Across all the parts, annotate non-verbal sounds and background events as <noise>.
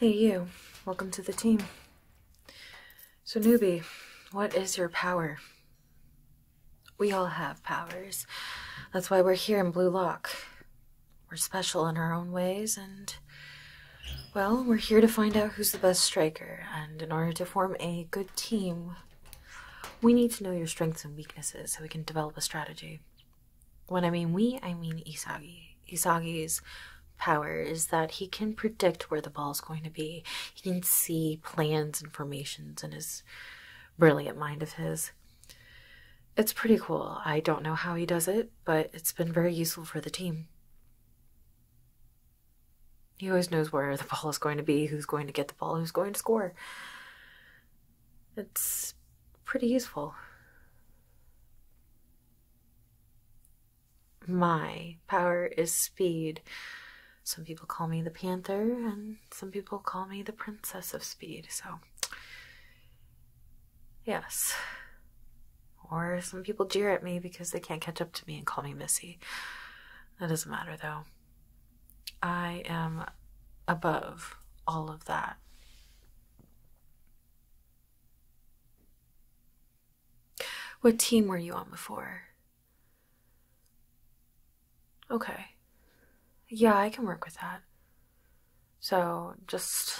Hey you, welcome to the team. So newbie, what is your power? We all have powers. That's why we're here in Blue Lock. We're special in our own ways and well, we're here to find out who's the best striker, and in order to form a good team, we need to know your strengths and weaknesses so we can develop a strategy. When I mean we, I mean Isagi. Isagi's power is that he can predict where the ball is going to be. He can see plans and formations in his brilliant mind of his. It's pretty cool. I don't know how he does it, but it's been very useful for the team. He always knows where the ball is going to be, who's going to get the ball, who's going to score. It's pretty useful. My power is speed. Some people call me the panther, and some people call me the princess of speed, so. Yes. Or some people jeer at me because they can't catch up to me and call me Missy. That doesn't matter, though. I am above all of that. What team were you on before? Okay. Yeah, I can work with that. So, just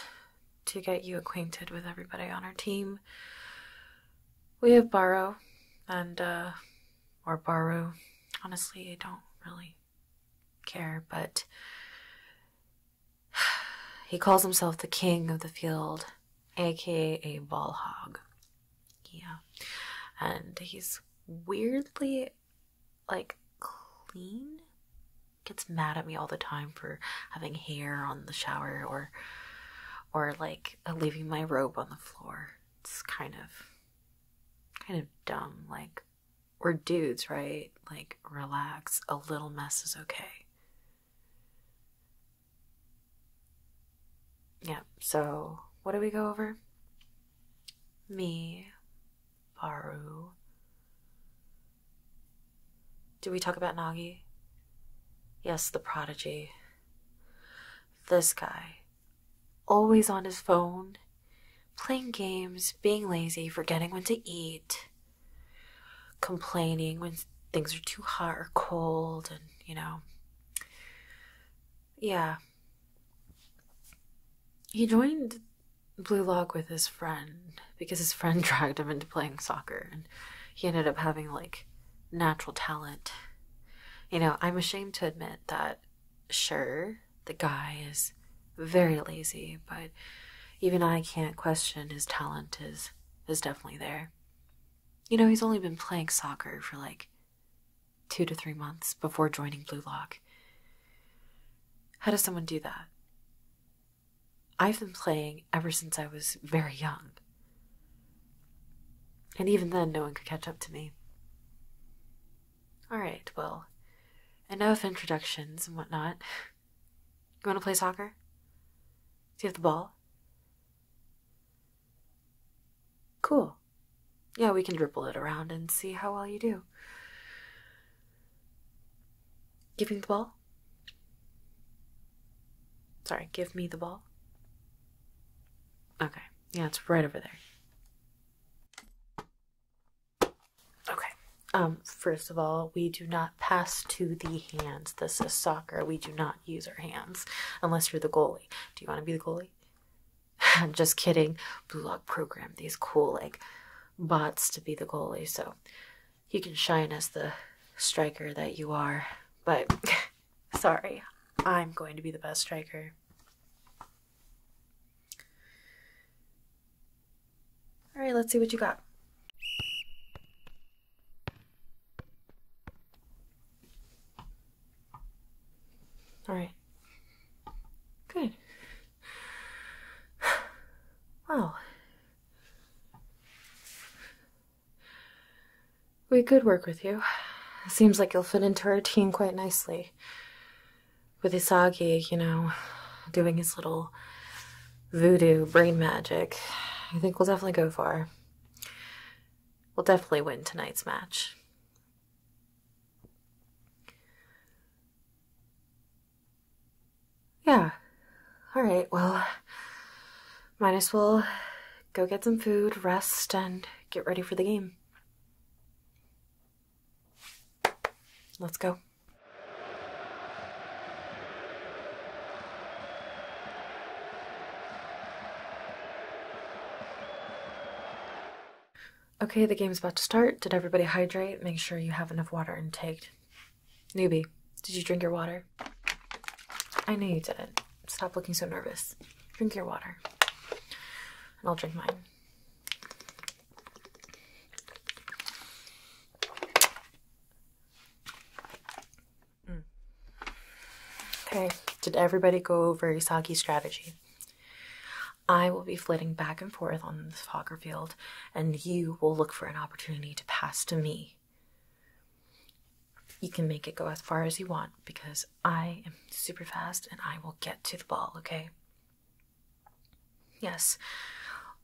to get you acquainted with everybody on our team, we have Borrow and, uh, or Baru. Honestly, I don't really care, but <sighs> He calls himself the king of the field, aka ball hog. Yeah. And he's weirdly like clean. Gets mad at me all the time for having hair on the shower or or like leaving my robe on the floor. It's kind of kind of dumb like we're dudes, right? Like, relax. A little mess is okay. Yep. so what do we go over? Me, Faru. Did we talk about Nagi? Yes, the prodigy. This guy. Always on his phone, playing games, being lazy, forgetting when to eat complaining when things are too hot or cold, and you know, yeah. He joined Blue Log with his friend because his friend <laughs> dragged him into playing soccer, and he ended up having like natural talent. You know, I'm ashamed to admit that, sure, the guy is very lazy, but even I can't question his talent is is definitely there. You know, he's only been playing soccer for like two to three months before joining Blue Lock. How does someone do that? I've been playing ever since I was very young. And even then, no one could catch up to me. All right, well, enough introductions and whatnot. <laughs> You want to play soccer? Do you have the ball? Cool. Yeah, we can dribble it around and see how well you do. Give me the ball. Sorry, give me the ball. Okay. Yeah, it's right over there. Okay. Um, first of all, we do not pass to the hands. This is soccer. We do not use our hands unless you're the goalie. Do you want to be the goalie? I'm <laughs> just kidding. Blue Lock programmed these cool like bots to be the goalie, so you can shine as the striker that you are. But <laughs> sorry, I'm going to be the best striker. All right, let's see what you got. All right. Good. <sighs> Wow. We could work with you. Seems like you'll fit into our team quite nicely with Isagi, you know, doing his little voodoo brain magic, I think we'll definitely go far. We'll definitely win tonight's match. Yeah. Alright, well, minus as well go get some food, rest, and get ready for the game. Let's go. Okay, the game's about to start. Did everybody hydrate? Make sure you have enough water intake. Newbie, did you drink your water? I know you didn't. Stop looking so nervous. Drink your water. And I'll drink mine. Mm. Okay, did everybody go over Isagi's strategy? I will be flitting back and forth on this soccer field, and you will look for an opportunity to pass to me. You can make it go as far as you want because I am super fast and I will get to the ball, okay? Yes,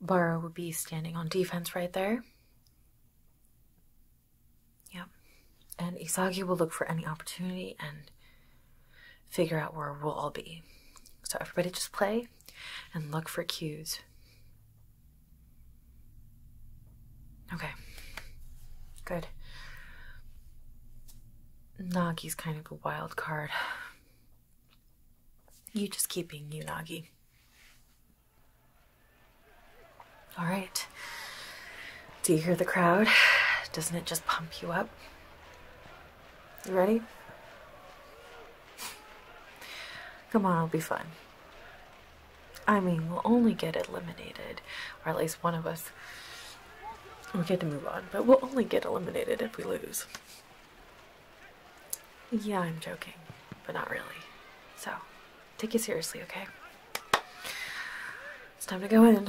Burrow would be standing on defense right there. Yep. And Isagi will look for any opportunity and figure out where we'll all be. So everybody just play and look for cues. Okay. Good. Nagi's kind of a wild card. You just keep being you, Nagi. All right. Do you hear the crowd? Doesn't it just pump you up? You ready? Come on, it'll be fun. I mean, we'll only get eliminated, or at least one of us. We get to move on, but we'll only get eliminated if we lose. Yeah, I'm joking, but not really. So, take it seriously, okay? It's time to go in.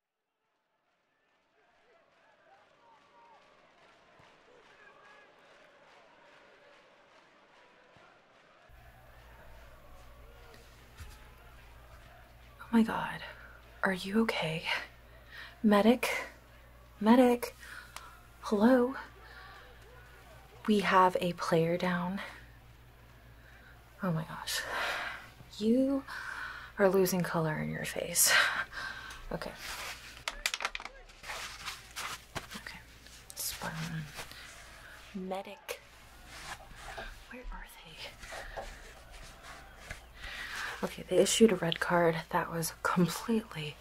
Oh my god. Are you okay? Medic? Medic? Hello? We have a player down. Oh my gosh. You are losing color in your face. <laughs> Okay. Okay. Spot Medic. Where are they? Okay, they issued a red card. That was completely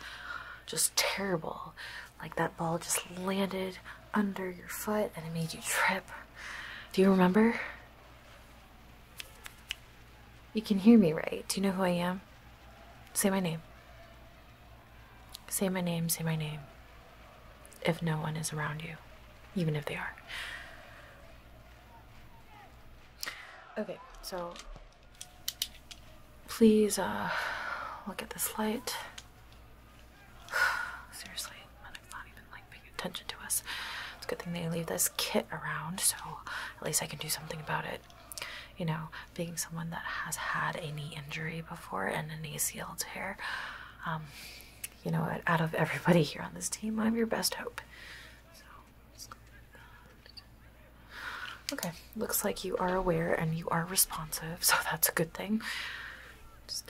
just terrible. Like that ball just landed under your foot and it made you trip. Do you remember? You can hear me, right? Do you know who I am? Say my name. Say my name, say my name. If no one is around you, even if they are. Okay, so please uh, look at this light. <sighs> Seriously, I'm not even like attention to us. It's a good thing they leave this kit around, so at least I can do something about it. You know, being someone that has had a knee injury before and an ACL tear, um, you know, out of everybody here on this team, I'm your best hope. okay, looks like you are aware and you are responsive, <laughs> so that's a good thing.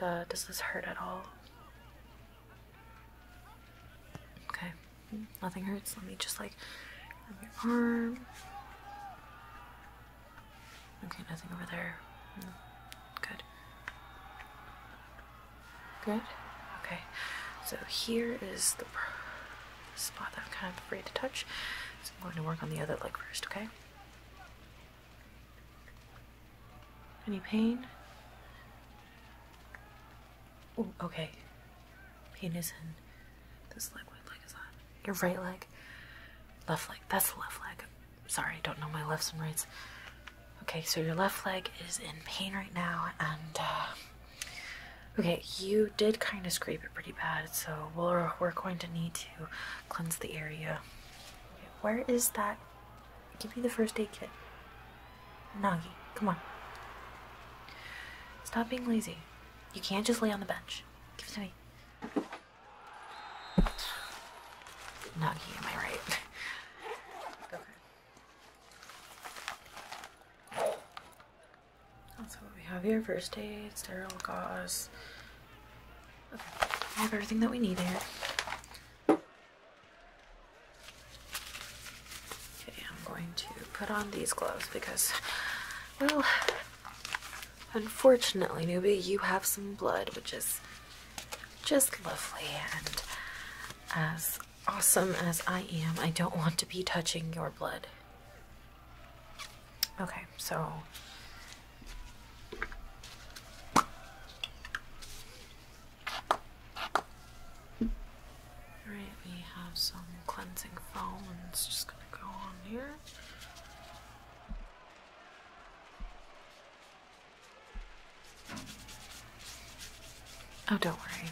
Uh, does this hurt at all? Okay, nothing hurts. Let me just like your arm. Okay, nothing over there. Hmm. Good. Good. Okay, so here is the spot that I'm kind of afraid to touch. I'm going to work on the other leg first. Okay. Any pain? okay. Penis in this leg. What leg is that? Your right leg. Left leg. That's the left leg. Sorry, don't know my lefts and rights. Okay, so your left leg is in pain right now, and uh, okay, you did kind of scrape it pretty bad, so we're we're going to need to cleanse the area. where is that Give me the first aid kit. Nagi, come on. Stop being lazy. You can't just lay on the bench. Give it to me. Nagi, am I right? <laughs> okay. That's what we have here. First aid, sterile gauze. Okay. I have everything that we need here. Okay, I'm going to put on these gloves because, well, unfortunately, newbie, you have some blood, which is just lovely. And as awesome as I am, I don't want to be touching your blood. Okay, so. Alright, we have some cleansing foam and it's just gonna go on here. Oh, don't worry.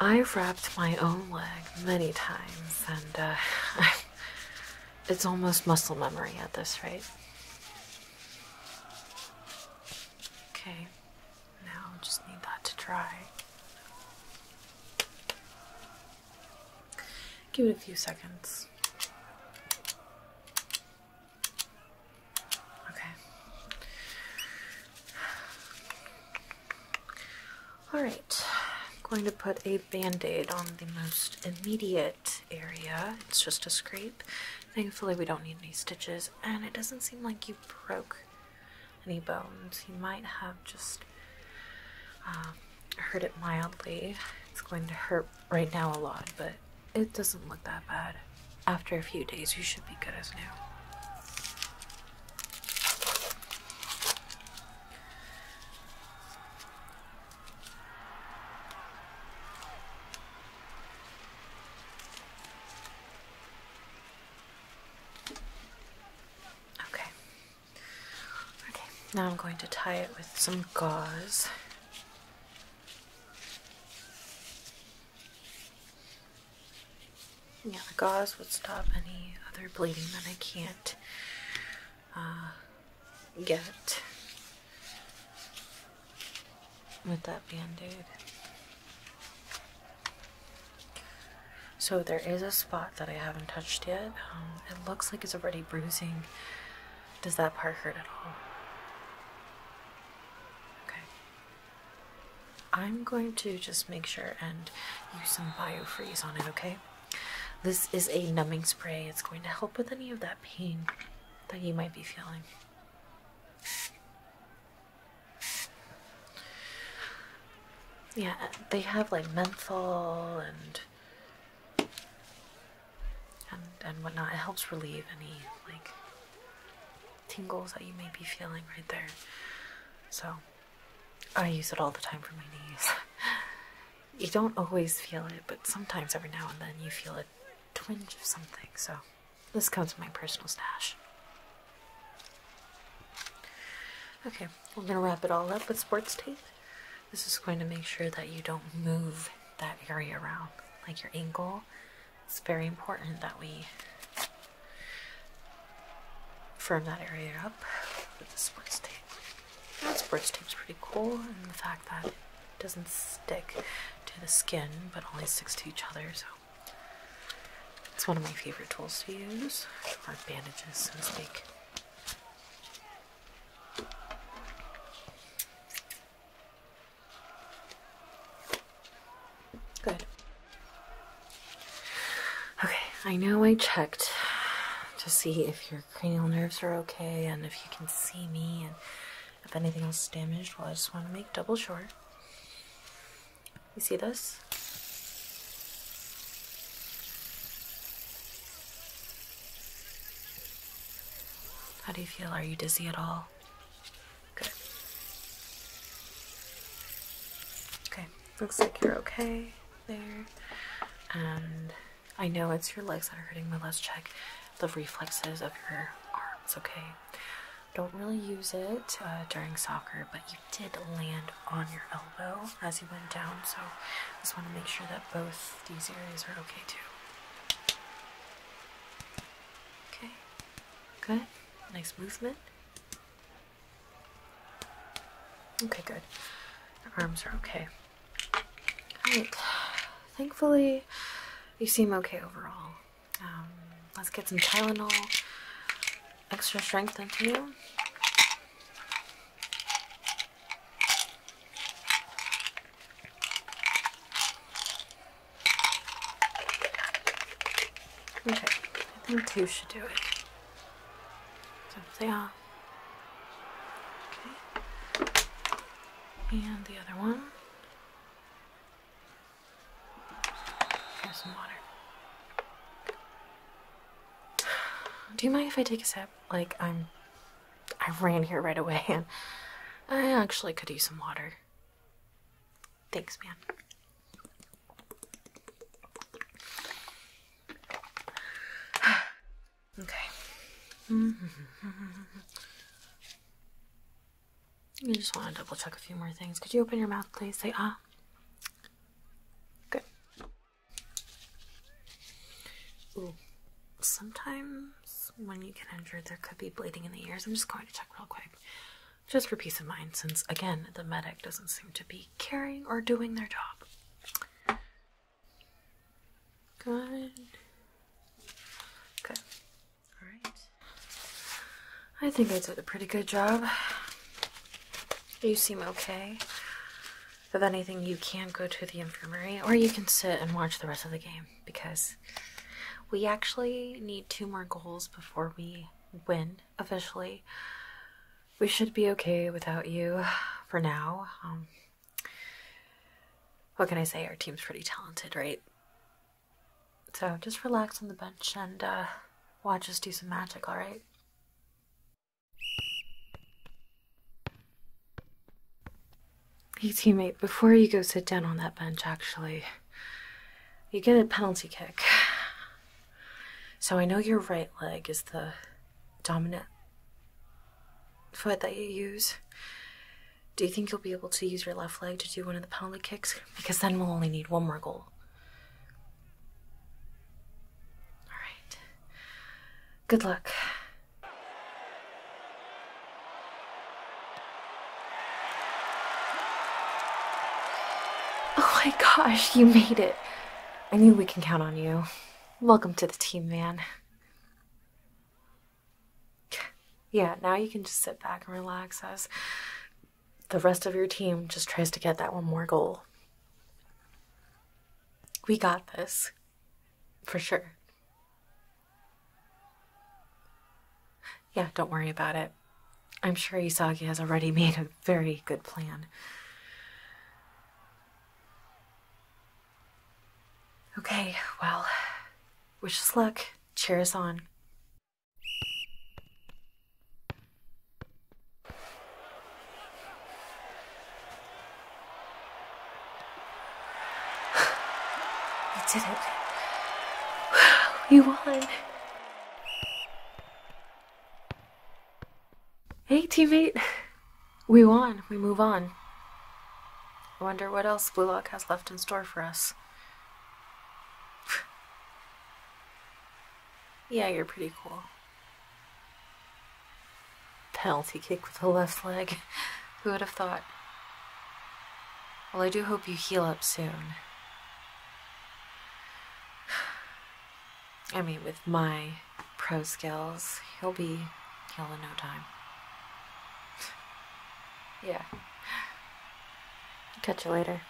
I've wrapped my own leg many times, and uh, <laughs> it's almost muscle memory at this rate. Okay, now just need that to dry. Give it a few seconds. Okay. Alright, I'm going to put a band aid on the most immediate area. It's just a scrape. Thankfully, we don't need any stitches and it doesn't seem like you broke any bones. You might have just um, hurt it mildly. It's going to hurt right now a lot, but it doesn't look that bad. After a few days, you should be good as new. Okay. Okay, now I'm going to tie it with some gauze. Yeah, the gauze would stop any other bleeding that I can't uh, get with that band-aid. So there is a spot that I haven't touched yet. Um, it looks like it's already bruising. Does that part hurt at all? Okay. I'm going to just make sure and use some biofreeze on it, okay? This is a numbing spray. It's going to help with any of that pain that you might be feeling. Yeah, they have like menthol and and and whatnot. It helps relieve any like tingles that you may be feeling right there. So I use it all the time for my knees. <laughs> you don't always feel it, but sometimes every now and then you feel a twinge of something. So this comes from my personal stash. Okay, we're going to wrap it all up with sports tape. This is going to make sure that you don't move that area around, like your ankle. It's very important that we firm that area up with the sports tape. That sports tape's pretty cool, and the fact that doesn't stick to the skin, but only sticks to each other, so it's one of my favorite tools to use, or bandages, so to speak. Good. Okay, I know I checked to see if your cranial nerves are okay and if you can see me and if anything else is damaged. Well, I just want to make double sure. You see this? How do you feel? Are you dizzy at all? Good. Okay, looks like you're okay there. And I know it's your legs that are hurting, but let's check the reflexes of your arms, okay? Don't really use it uh, during soccer, but you did land on your elbow as you went down, so I just want to make sure that both these areas are okay too. Okay, good. Nice movement. Okay, good. Your arms are okay. Alright, thankfully, you seem okay overall. Um, let's get some Tylenol, extra strength into you. Okay, I think two should do it. So they are. Okay. And the other one. Do you mind if I take a sip? Like, I'm. I ran here right away and I actually could use some water. Thanks, man. <sighs> okay. <laughs> I just want to double check a few more things. Could you open your mouth, please? Say ah. Good. Sometimes when you get injured, there could be bleeding in the ears. I'm just going to check real quick, just for peace of mind, since again, the medic doesn't seem to be caring or doing their job. Good. Good. All right. I think I did a pretty good job. You seem okay. If anything, you can go to the infirmary, or you can sit and watch the rest of the game because we actually need two more goals before we win officially. We should be okay without you for now. Um, what can I say? Our team's pretty talented, right? So just relax on the bench and uh, watch us do some magic, alright? Hey, teammate, before you go sit down on that bench, actually, you get a penalty kick. So I know your right leg is the dominant foot that you use, do you think you'll be able to use your left leg to do one of the penalty kicks? Because then we'll only need one more goal. Alright. Good luck. <laughs> Oh my gosh, you made it. I knew we can count on you. Welcome to the team, man yeah, now you can just sit back and relax as the rest of your team just tries to get that one more goal. We got this. For sure. Yeah, don't worry about it. I'm sure Isagi has already <laughs> made a very good plan. Okay, well, Wish us luck. Cheers on. <sighs> You did it. <sighs> You won. Hey, teammate. We won. We move on. I wonder what else Blue Lock has left in store for us. <sighs> yeah, you're pretty cool. Penalty kick with the left leg. <laughs> Who would have thought? Well, I do hope you heal up soon. <sighs> I mean, with my pro skills, he'll be healed in no time. Yeah. Catch you later.